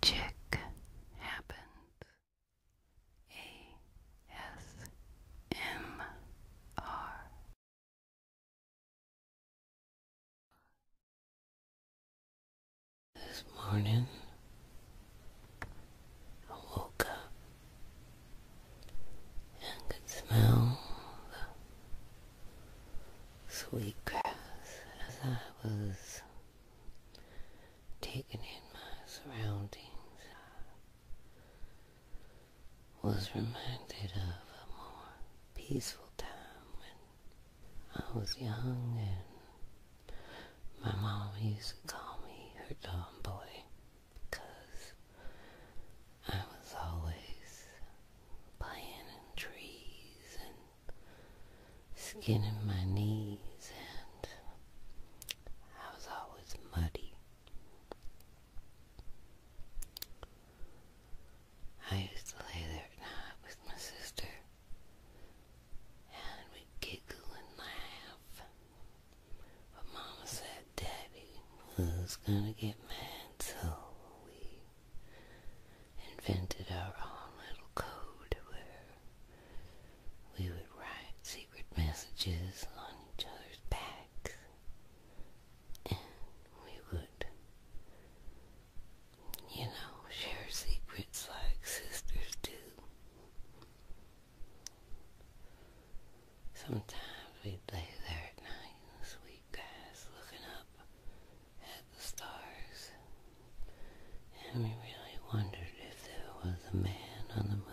Chick happens. A S M R. This morning I woke up and could smell the sweet grass as I was taking in my surroundings, I was reminded of a more peaceful time when I was young and my mom used to call me her tomboy because I was always playing in trees and skin in my knees, and I was always muddy. I used to lay there at night with my sister, and we'd giggle and laugh. But Mama said Daddy was gonna get mad, so we invented our own little code where we would write secret messages on each other's backs and we would, you know, share secrets like sisters do. Sometimes we'd lay there at night and the sweet guys looking up at the stars, and we really wondered if there was a man on the moon.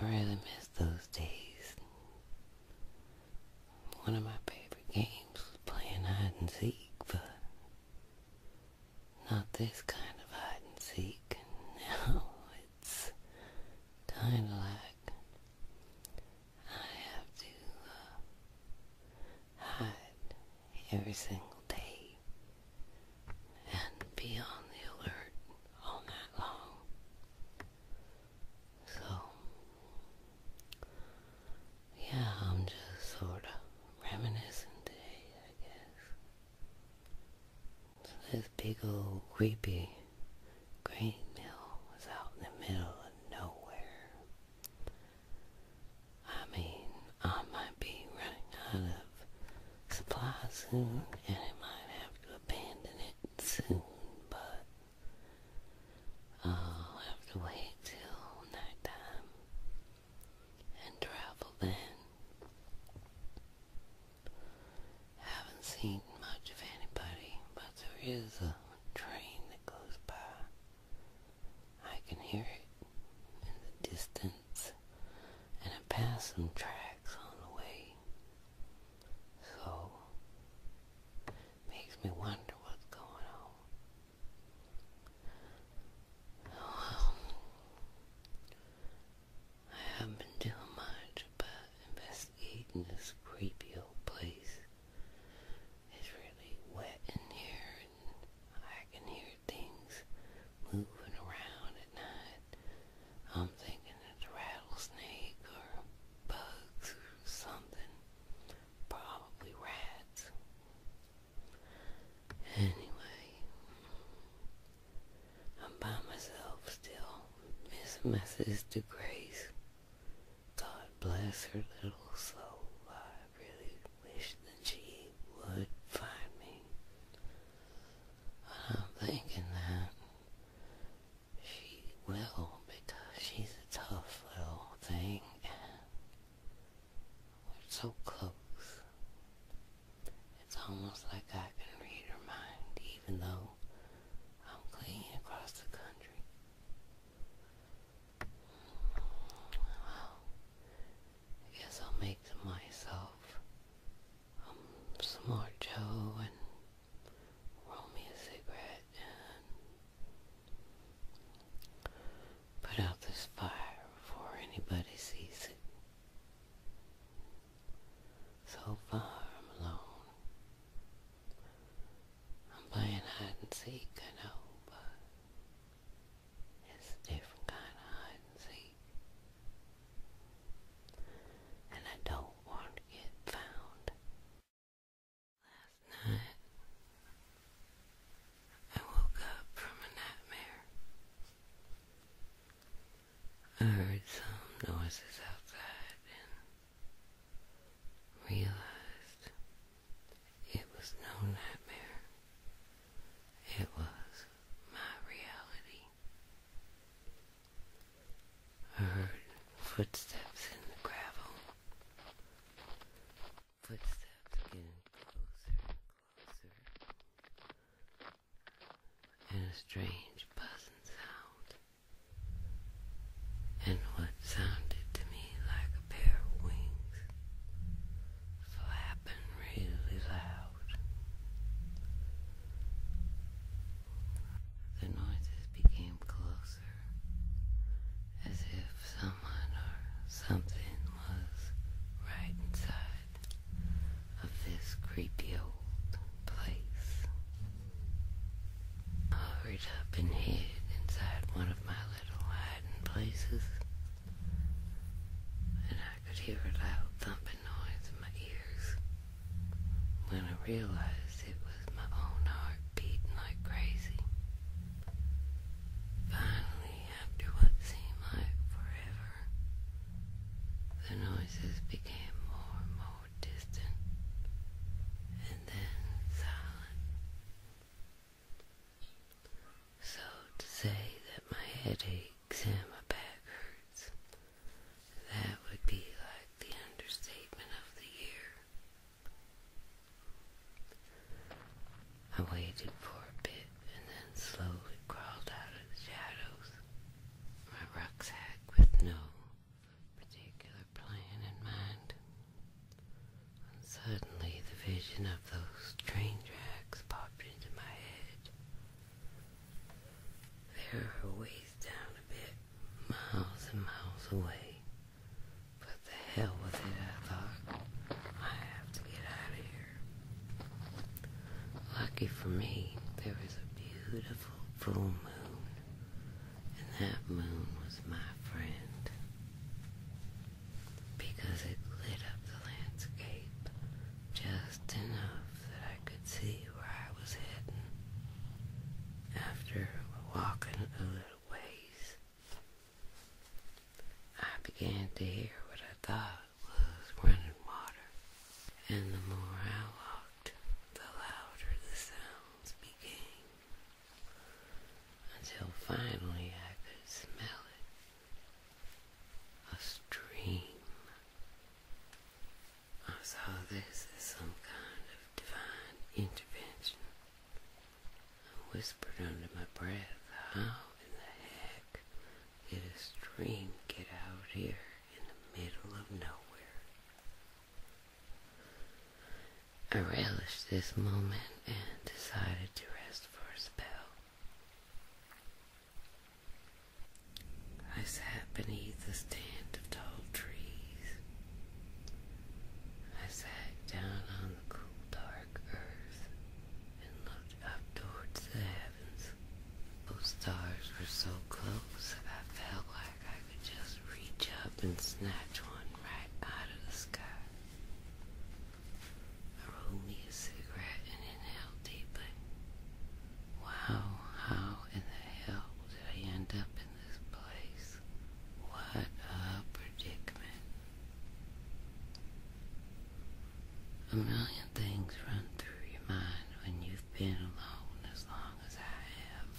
I really miss those days. One of my favorite games was playing hide and seek, but not this kind of hide and seek. Now it's kind of like I have to uh, hide every single day and be on the alert all night long. So, yeah, I'm just sort of reminiscing today, I guess. this big old creepy Green Mill was out in the middle of nowhere. I mean, I might be running out of supply soon, and I might have to abandon it soon, but I'll have to wait till nighttime and travel then. Haven't seen much of anybody, but there is a train that goes by. I can hear it in the distance, and I pass some tracks on the way. So, makes me wonder what's going on. I haven't been doing much but invest just this creepy old place. It's really wet in here, and I can hear things moving around at night. I'm thinking it's rattlesnake or bugs or something. Probably rats. Anyway, I'm by myself still, missing my sister Grace. God bless her little soul. I really wish that she would find me. I'm thinking that she will because she's a tough little thing we're so close. It's almost like I can read her mind even though I'm clean across the country. I guess I'll make them myself um, Joe and roll me a cigarette and put out this fire before anybody sees it. So far I'm alone. I'm playing hide and seek, I know, but it's a different kind of hide and seek. And I don't want to get found. Last night, I woke up from a nightmare. I heard some noises outside realized it was no nightmare, it was my reality. I heard footsteps in the gravel, footsteps getting closer closer and a strange buzzing sound, and what sounded to me like a pair of wings flapping really loud. The noises became closer, as if someone or something was right inside of this creepy old place. I Hurried up and hid inside one of my little hiding places, and I could hear a loud thumping noise in my ears. When I realized it was my own heart beating like crazy. Finally, after what seemed like forever, the noises became more and more distant and then silent. So to say that my head aches and my back hurts, that would be like the understatement of the year. I waited for a bit and then slowly crawled out of the shadows, my rucksack with no particular plan in mind. suddenly the vision of those train tracks popped into my head. They are a down a bit, miles and miles away. But the hell with it, I thought. I have to get out of here. Lucky for me, there was a beautiful full moon, and that moon was my friend because it lit up the landscape just enough that I could see where I was heading. After walking a little ways, I began to hear what I thought was running water, and the more I the louder the sounds became, until finally I could smell it. A stream. I saw this as some kind of divine intervention. I whispered under my breath, how in the heck did a stream get out here? in the middle of nowhere. I relished this moment and decided to rest for a spell. I sat beneath a stand of tall trees. I sat down on the cool dark earth and looked up towards the heavens heavens. Those stars were so close that I felt like I could just reach up and snatch one right out of the sky. I rolled me a cigarette and inhaled deeply. Wow, how in the hell did I end up in this place? What a predicament. A million things run through your mind when you been alone as long as I have,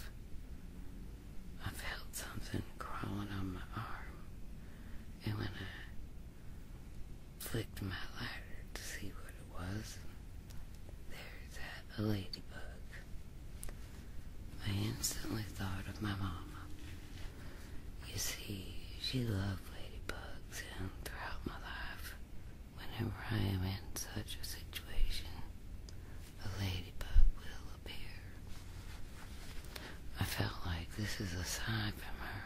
I felt something crawling on my arm, and when I flicked my lighter to see what it was, there's that a ladybug. I instantly thought of my mama. You see, she loved ladybugs, and throughout my life, Whenever I am in such a situation, a ladybug will appear. I felt like this is a sign from her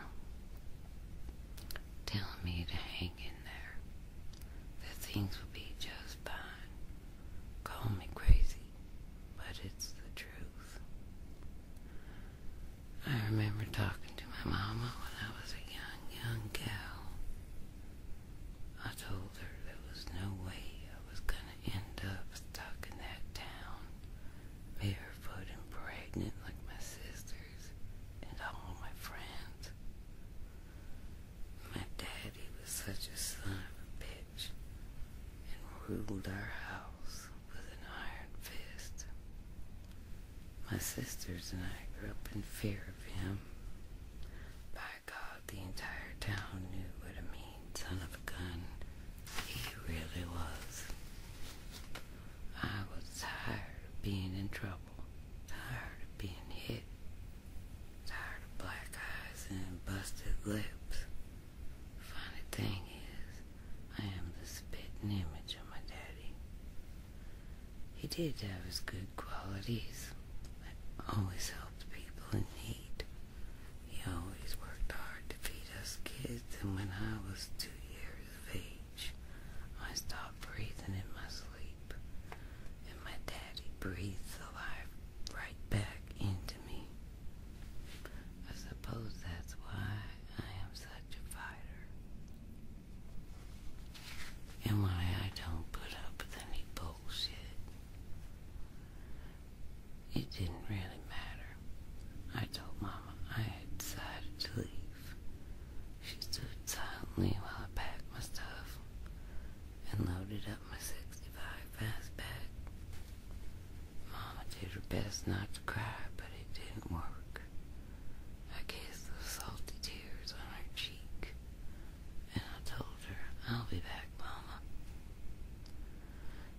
telling me to hang in there, that things will be just fine. Call me crazy, but it's the truth. I remember talking to my mama when I was a young young gal, I told her there was no way I was gonna end up stuck in that town, barefoot and pregnant like my sisters and all my friends. My daddy was such a son of a bitch and ruled our house with an iron fist. My sisters and I grew up in fear of him. By God, the entire town knew what a mean son of a gun he really was. I was tired of being in trouble, tired of being hit, tired of black eyes and busted lips. The funny thing is, I am the spitting image of my daddy. He did have his good qualities, but always helped people in need. He always worked hard to feed us kids, and when I was two years of age, I stopped breathing in my sleep, and my daddy breathed the life right back into me. I suppose that's why I am such a fighter and why I don't put up with any bullshit. It didn't really matter. I told Mama I had decided to leave. She stood silently while I packed my stuff and loaded up my 65 fastback. Mama did her best not to cry, but it didn't work. I kissed the salty tears on her cheek, and I told her, I'll be back, Mama.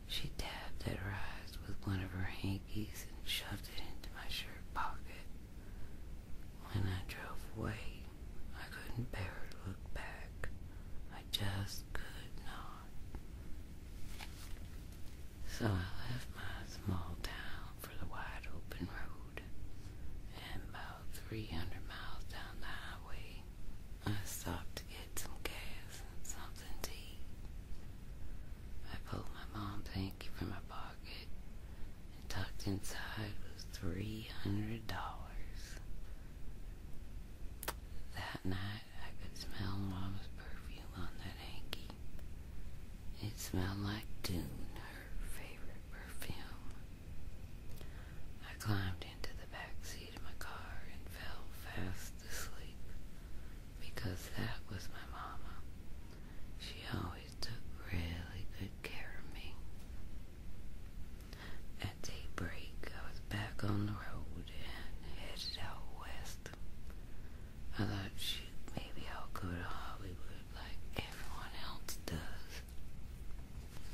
She dabbed at her eyes with one of her hankies and shoved it into my shirt pocket. When I drove away, I couldn't bear to look back. I just could not. So I left my small town for the wide open road, and about 300 miles down the highway, I stopped to get some gas and something to eat. I pulled my mom thank from my pocket, and tucked inside was $300. That night, I could smell Mama's perfume on that hanky it smelled like Dune, her favorite perfume. I climbed into the back seat of my car and fell fast asleep because that was my mama. She always took really good care of me. At daybreak, I was back on the road and headed out west. I thought, shoot, maybe I'll go to Hollywood like everyone else does.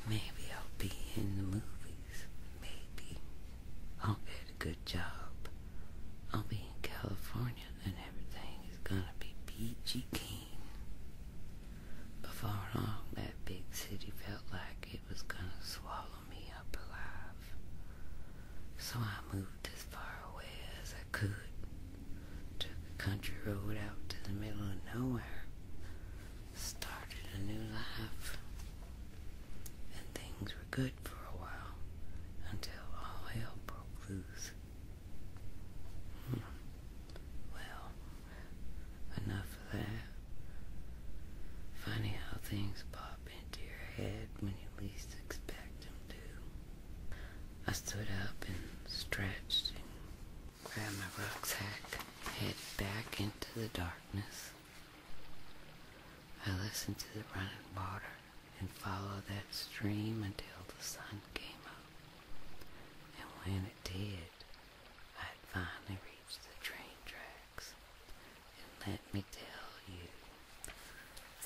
Maybe I'll be in the movies. Maybe I'll get a good job. I'll be in California and everything is gonna be peachy keen. Before long, that big city felt like it was gonna swallow me up alive. So I moved to as far away as I could. Took a country road out to the middle of nowhere. Started a new life. And things were good for a while until all hell broke loose. Hmm. Well, enough of that. Funny how things pop into your head when you least expect them to. I stood up and stretched and grabbed my rucksack, headed back into the darkness. I listened to the running water and followed that stream until the sun came up. And when it did, I finally reached the train tracks. And let me tell you,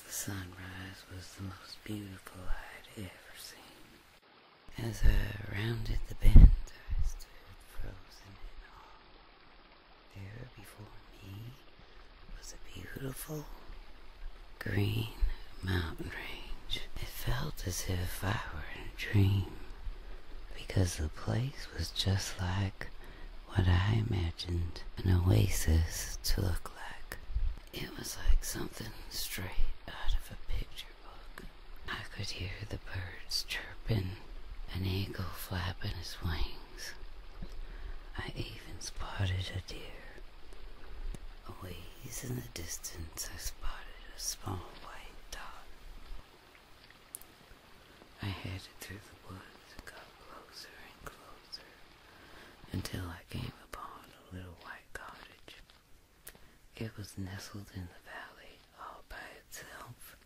the sunrise was the most beautiful I would ever seen. As I rounded the bend, I stood frozen in awe. There before me was a beautiful green mountain range. It felt as if I were in a dream because the place was just like what I imagined an oasis to look like. It was like something straight out of a picture book. I could hear the birds chirping, an eagle flapping its wings. I even spotted a deer. Away ways in the distance, I spotted a small white dot. I headed through the woods and got closer and closer until I came upon a little white cottage. It was nestled in the valley all by itself.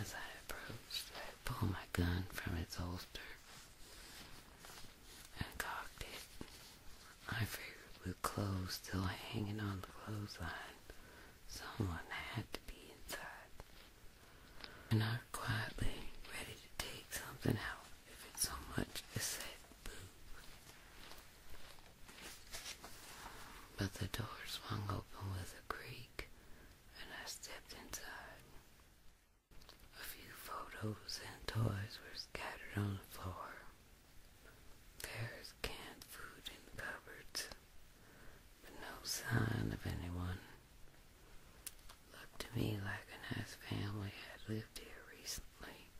As I approached, I pulled my gun from its holster and cocked it. I figured with clothes still hanging on the clothesline, someone had to be inside and are quietly ready to take something out if it so much as said But the door swung open with a creak, and I stepped inside. A few photos and toys were scattered on the floor. There's canned food in the cupboards, but no sign of anyone. Looked to me like a nice family had lived here recently,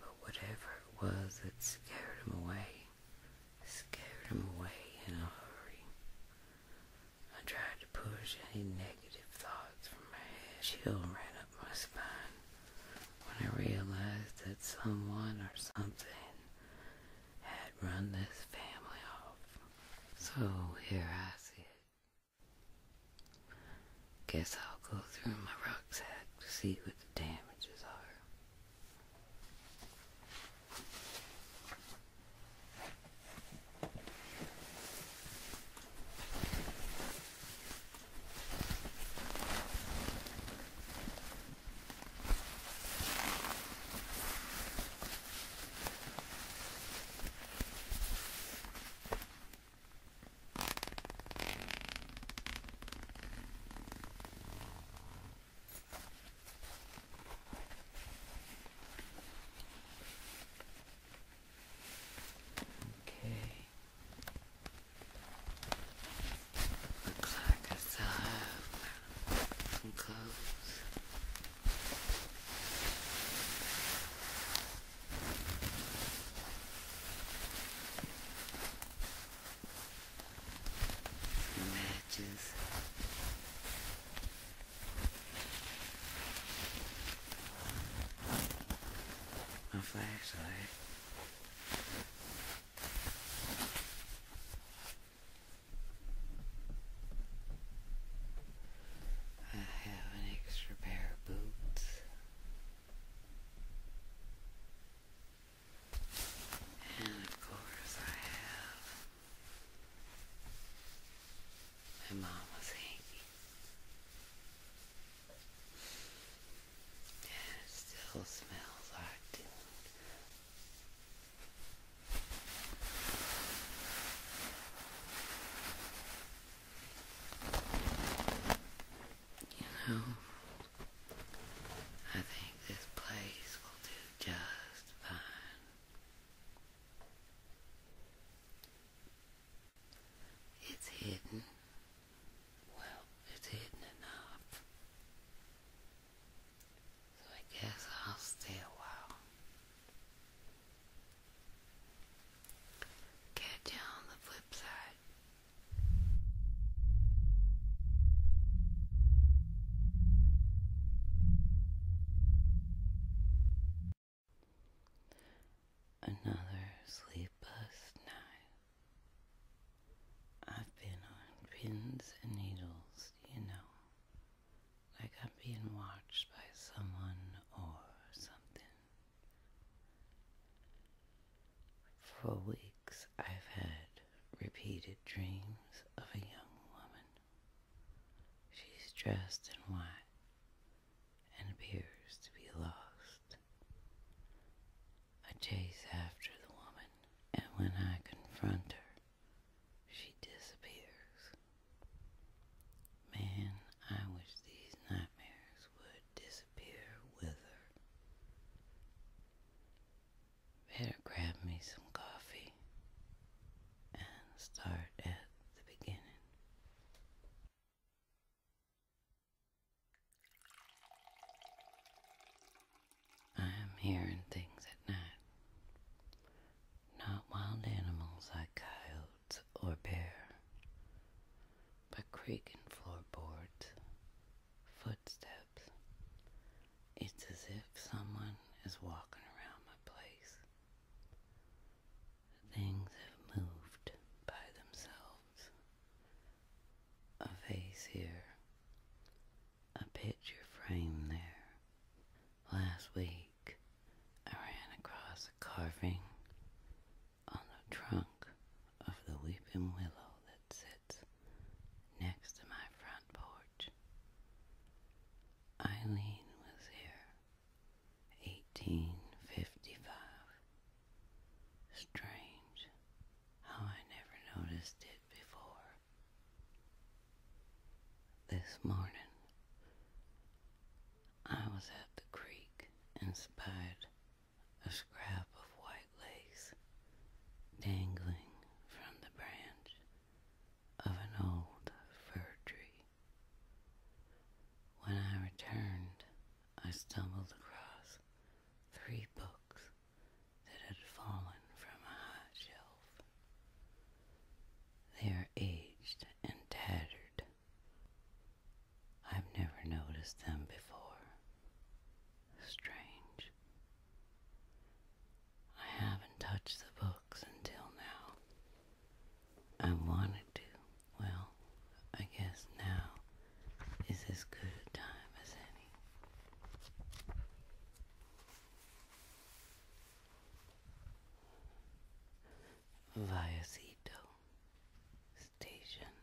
but whatever it was that scared him away, scared him away in a hurry. I tried to push any negative thoughts from my head. Chill ran up my spine when I realized that someone or something had run this family off. So here I sit, Guess I'll go through my rucksack to see what the damages are. Okay. Looks like it's time to close matches. My flashlight. I have an extra pair of boots and of course I have my mama's hanky and it still smells like you know, I think this place will do just fine. It's hidden. Well, it's hidden enough. So I guess I'll stay a while. Catch you on the flip side. Another sleepless night. I've been on pins and needles, you know like I'm being watched by someone or something. For weeks, I've had repeated dreams of a young woman. She's dressed in white and appears to be lost. I chase after the woman, and when I confront her, she disappears. Man, I wish these nightmares would disappear with her. Better grab me some coffee and start at the beginning. I am hearing things at night not wild animals like coyotes or bear, but creaking floorboards, footsteps. It's as if someone is walking around my place. Things have moved by themselves. A face here, a picture frame there. Last week, I ran across a carving on the trunk of the weeping willow that sits next to my front porch. Eileen was here, 1855. Strange how I never noticed it before. This morning, I was at the creek and spied a scrap of white lace dangling from the branch of an old fir tree. When I returned, I stumbled across three books that had fallen from a high shelf. They are aged and tattered. I've never noticed them before. Strange. I haven't touched the books until now. I wanted to. Well, I guess now is as good a time as any via Seto Station.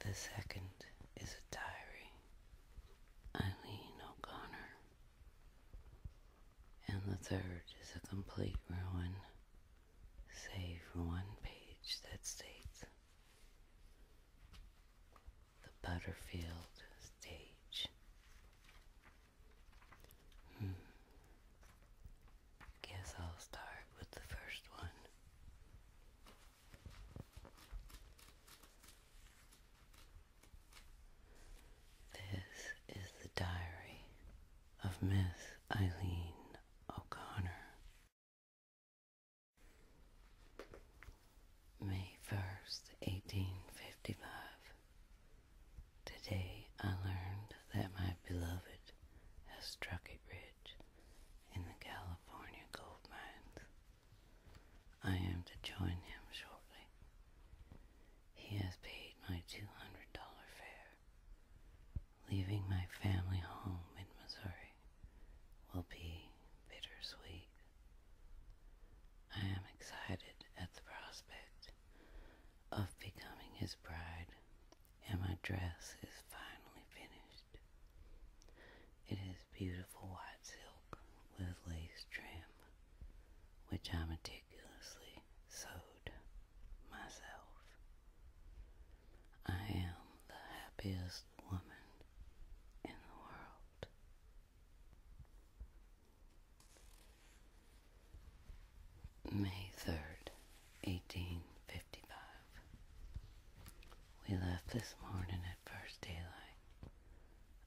The second is a diary, Eileen O'Connor. And the third is a complete ruin, save for one page that states the Butterfield stage. Hmm. Guess I'll start with the first one. This is the diary of Miss Eileen O'Connor. May 1st, 1855. Today I learned that my beloved has struck it rich in the California gold mines. I am to join him shortly. He has paid my $200 fare. Leaving my family home in Missouri will be bittersweet. I am excited at the prospect of becoming his bride, and my dress is finally finished. It is beautiful white silk with lace trim, which I meticulously sewed myself. I am the happiest woman in the world. May 3rd, 1855. We left this morning at first daylight.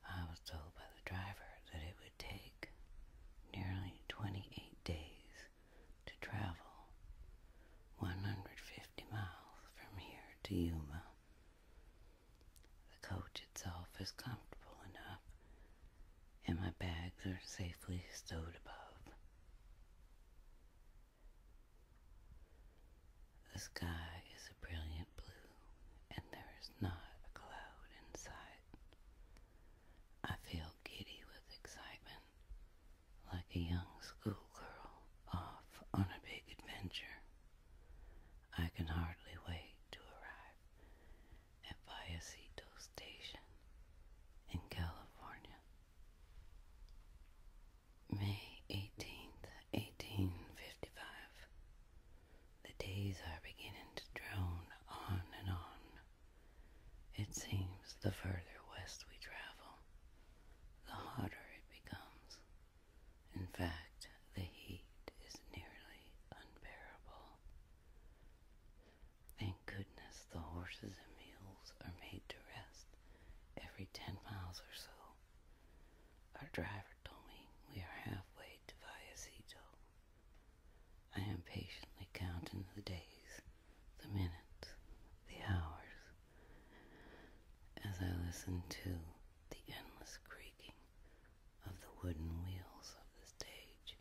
I was told by the driver that it would take nearly 28 days to travel 150 miles from here to Yuma the coach itself is comfortable enough, and my bags are safely stowed above. The sky is a brilliant blue, and there is not a cloud in sight. I feel giddy with excitement, like a young schoolgirl off on a big adventure. I can hardly wait to arrive at Vallecito Station in California. May 18th, 1855. The days are beginning to drone on and on. It seems the further west we travel, the hotter it becomes. In fact, the heat is nearly unbearable. Thank goodness the horses and mules are made to rest every ten miles or so. Our driver told me we are halfway to Viacito. I am patiently counting the days, the minutes, the hours, as I listened to the endless creaking of the wooden wheels of the stage.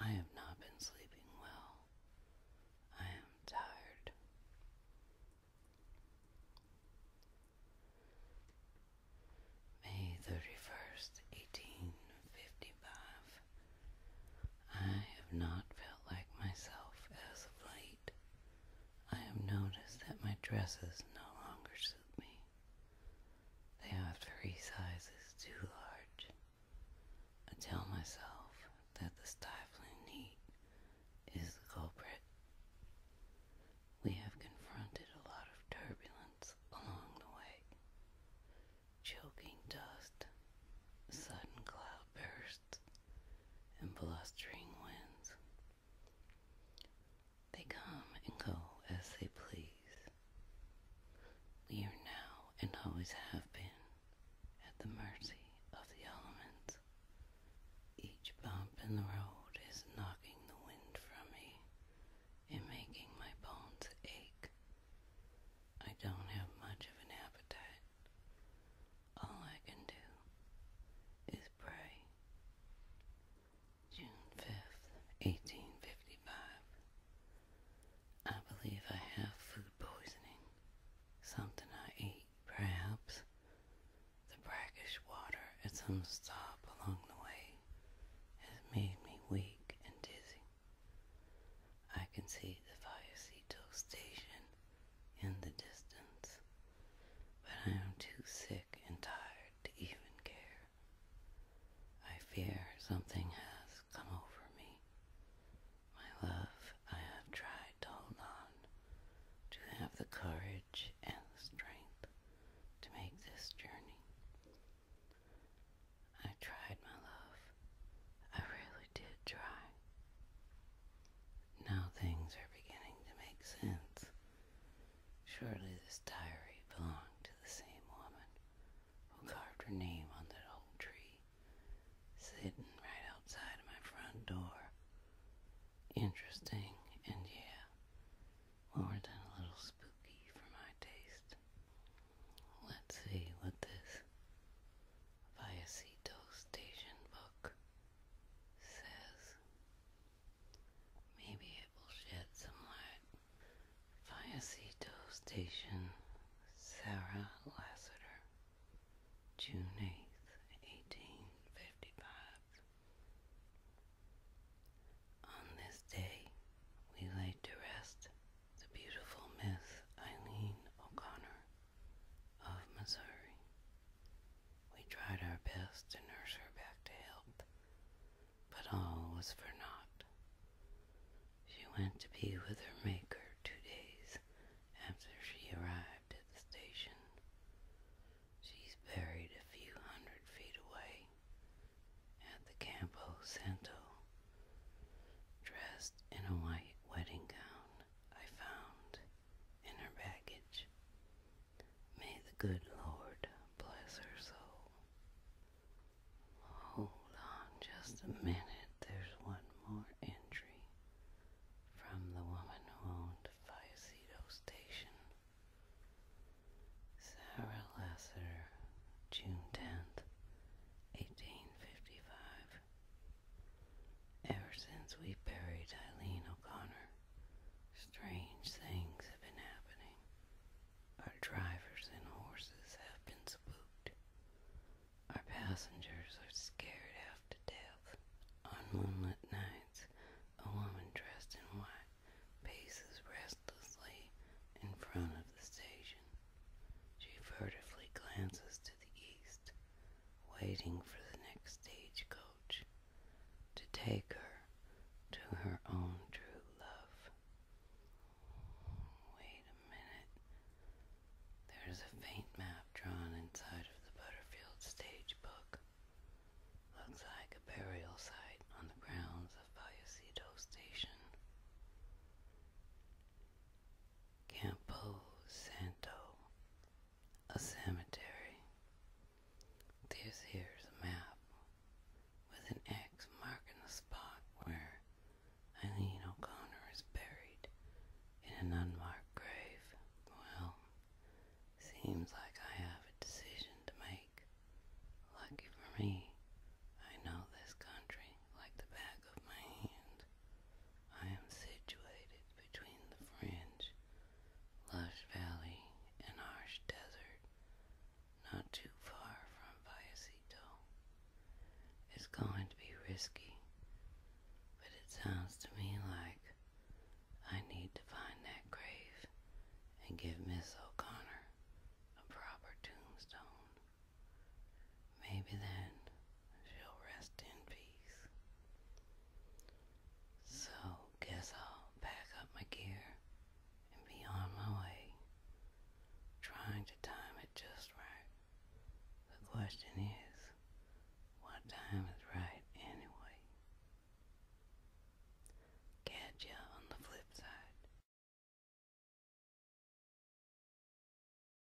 I have not been sleeping well. I am tired. May 31st, 1855. I have not felt like myself as of late. I have noticed that my dresses no longer suit me. They are three sizes too large. I tell myself that the stifling heat is the culprit. We have confronted a lot of turbulence along the way. Choking dust, sudden cloud bursts and blustering winds. They come and go as they please. We are now and always have been at the mercy of the elements. Each bump in the road is knocking the wind from me and making my bones ache. I don't have much of an appetite, all I can do is pray. June 5th, 1855. I believe I have food poisoning. Something I ate, perhaps. The brackish water at some stop along the way has made me weak and dizzy. I can see the fire station in the distance, but I am too sick and tired to even care. I fear something has come over me. My love, I have tried to hold on, to have the courage and the strength to make this journey. I tried, my love. I really really did try. Now things are beginning to make sense. Surely this diary belonged to the same woman who carved her name on that old tree, sitting right outside my front door. Interesting, and yeah, more than a little spooky for my taste. Let's see what this Viacito Station book says maybe it will shed some light. Fiacito Station, Sarah Lassiter, June 8th, 1855. On this day, we laid to rest the beautiful Miss Eileen O'Connor of oh, Missouri. We tried our best to nurse her back to health, but all was for naught. She went to be with her Maker two days after she arrived at the station. She's buried a few hundred feet away at the Campo Santo, dressed in a white wedding gown. I found in her baggage. May the good Lord bless her soul. Hold on just a minute, there's one more entry from the woman who owned Fiaceto Station. Sarah Lesser, June 10th, 1855. Ever since we buried Eileen O'Connor, strange things have been happening. Our drivers and horses have been spooked. Our passengers are scared half to death. On moonlit nights, a woman dressed in white paces restlessly in front of the station. She furtively glances to the east, waiting for the next stagecoach to take her to her own true love. Wait a minute. There is a faint map drawn inside of the Butterfield stage book. Looks like a burial site on the grounds of Vallecito Station. Campo Santo, a cemetery. This here's a map with an X marking the spot where Eileen O'Connor is buried in an unmarked grave. Well, seems like I have a decision to make. Lucky for me, I know this country like the back of my hand. I am situated between the fringe, lush valley, and harsh desert, not too far from Vallecito. It's going to be risky, but it sounds to me like I need to find that grave and give Miss O'Connor a proper tombstone. Maybe then she'll rest in peace. So, guess I'll pack up my gear and be on my way, trying to time it just right. The question is, what time is right anyway? Catch ya on the flip side.